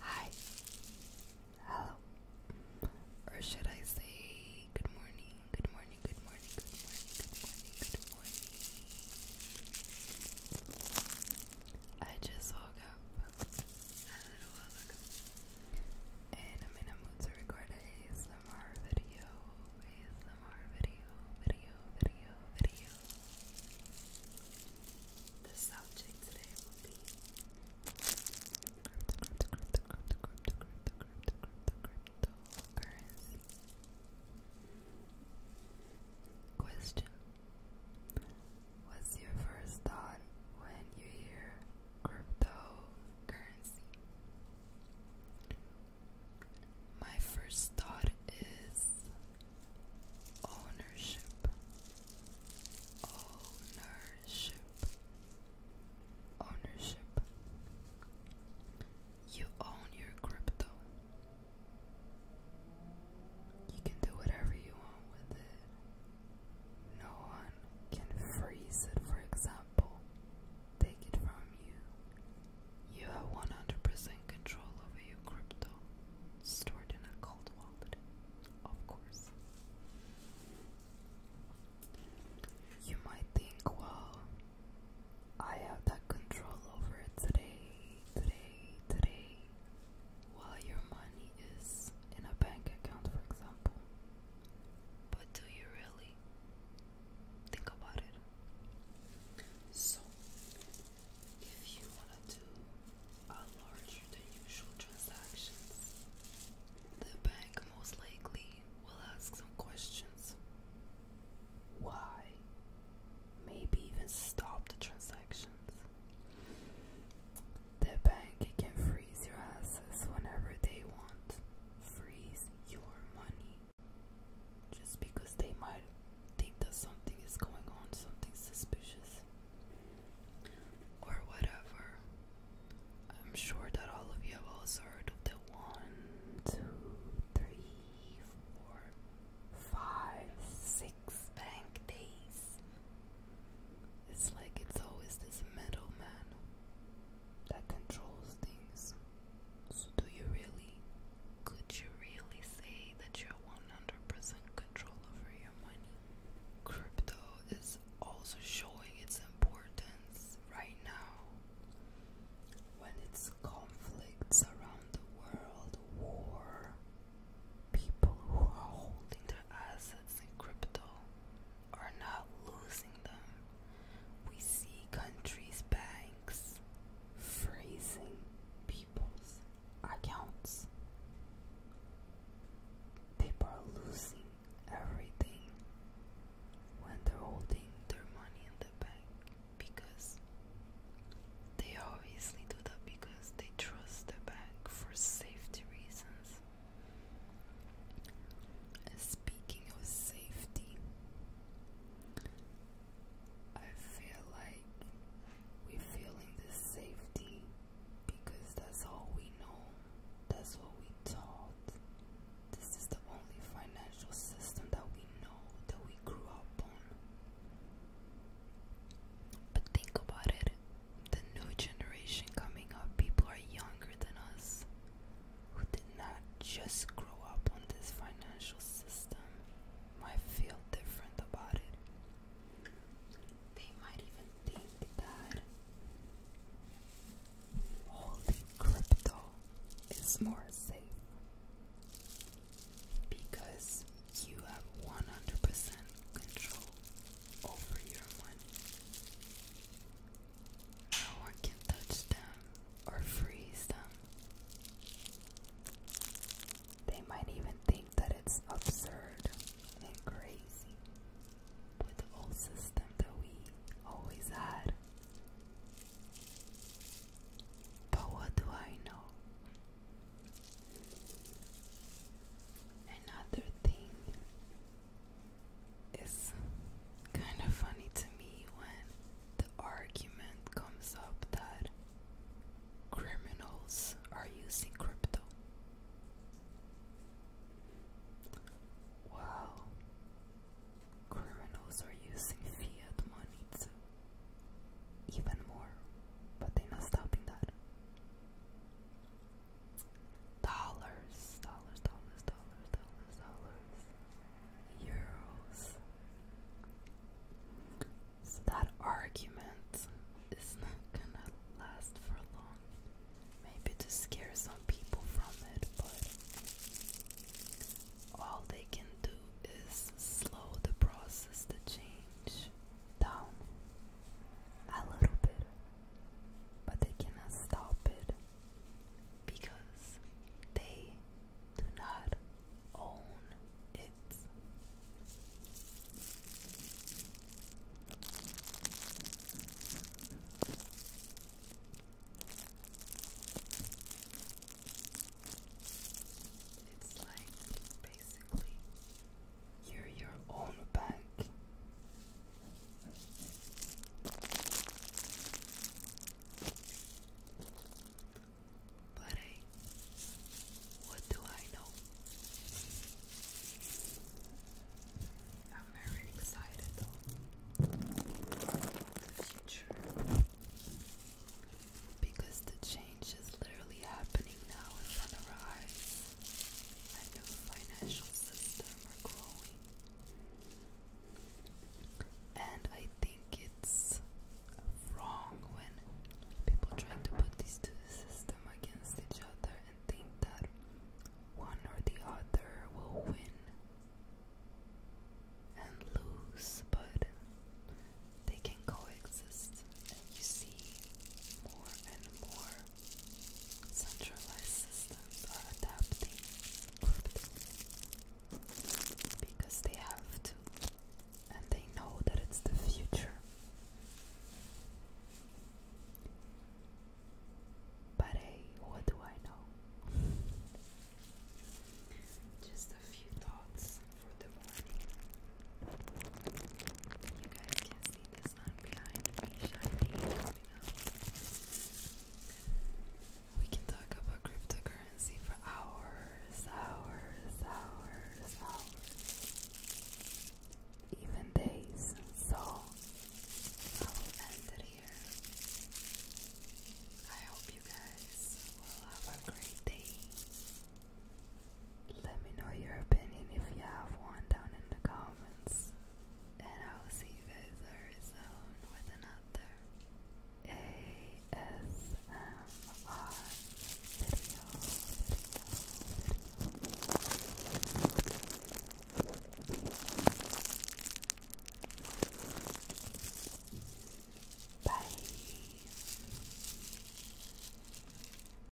Hi. Hello. Or should I say good morning, good morning, good morning, good morning, good morning, good morning. I just woke up And I'm in a mood to record a the subject today cryptocurrency. Question. What's your first thought when you hear crypto currency. My first thought is ownership. Ownership. Ownership. You own your crypto. You can do whatever you want with it. No one can freeze it, for example, take it from you. You have 100% control over your crypto, stored in a cold wallet, of course. You might think, well, I have that control over it today, today, today, while your money is in a bank account, for example. But do you really think about it? So, if you want to do a larger than usual transactions, the bank most likely will ask some questions. Why? Maybe even stop the transactions. The bank can freeze your assets whenever they want. Freeze your money. Just because they might think that something is going on, something suspicious. Or whatever. I'm sure that all of you have also heard of the one, two, three, four, five, six bank days. It's like it's always this metal man that controls things. So, do you really, could you really say that you're 100% control over your money? Crypto is also showing its importance right now when it's conflicts around the world, war, people who are holding their assets in crypto are not losing them. We see countries' banks freezing people's accounts. People are losing everything when they're holding their money in the bank because they obviously do that because they trust the bank for safety reasons. Speaking of safety, I feel like we're feeling this safety because that's all we know, that's what we taught. This is the only financial system that we know, that we grew up on. But think about it the new generation coming up, people are younger than us who did not just grow up on this financial system, might feel different about it. They might even think that holding crypto is more safe because you have 100% control over your money. No one can touch them or freeze them. They might even think that it's absurd and crazy with the old system that we always had. But what do I know? Another thing it's kind of funny to me when the argument comes up that criminals are using crypto. Wow, criminals are using fiat money too, even more, but they're not stopping that dollars, dollars, dollars, dollars, dollars, dollars, euros. that argument is not gonna last for long. Maybe to scare some people from it, but all they can do is slow the process to change down a little bit, but they cannot stop it because they do not own it. It's like basically you're your own bank. But hey, what do I know? I'm very excited though the future because the change is literally happening now in front of our and financial system are growing. And I think it's wrong when people try to put these two systems against each other and think that one or the other will win and lose, but they can coexist. And you see more and more centralized systems are adapting because they have to and they know that it's the future. But hey, what do I know? Just a few thoughts for the morning. You guys can see the We can talk about cryptocurrency for hours, hours, hours, hours. Even days. So I will end it here. I hope you guys will have a great day. Let me know your opinion if you have one down in the comments. And I will see you guys very soon with another ASMR video. video, video. Bye.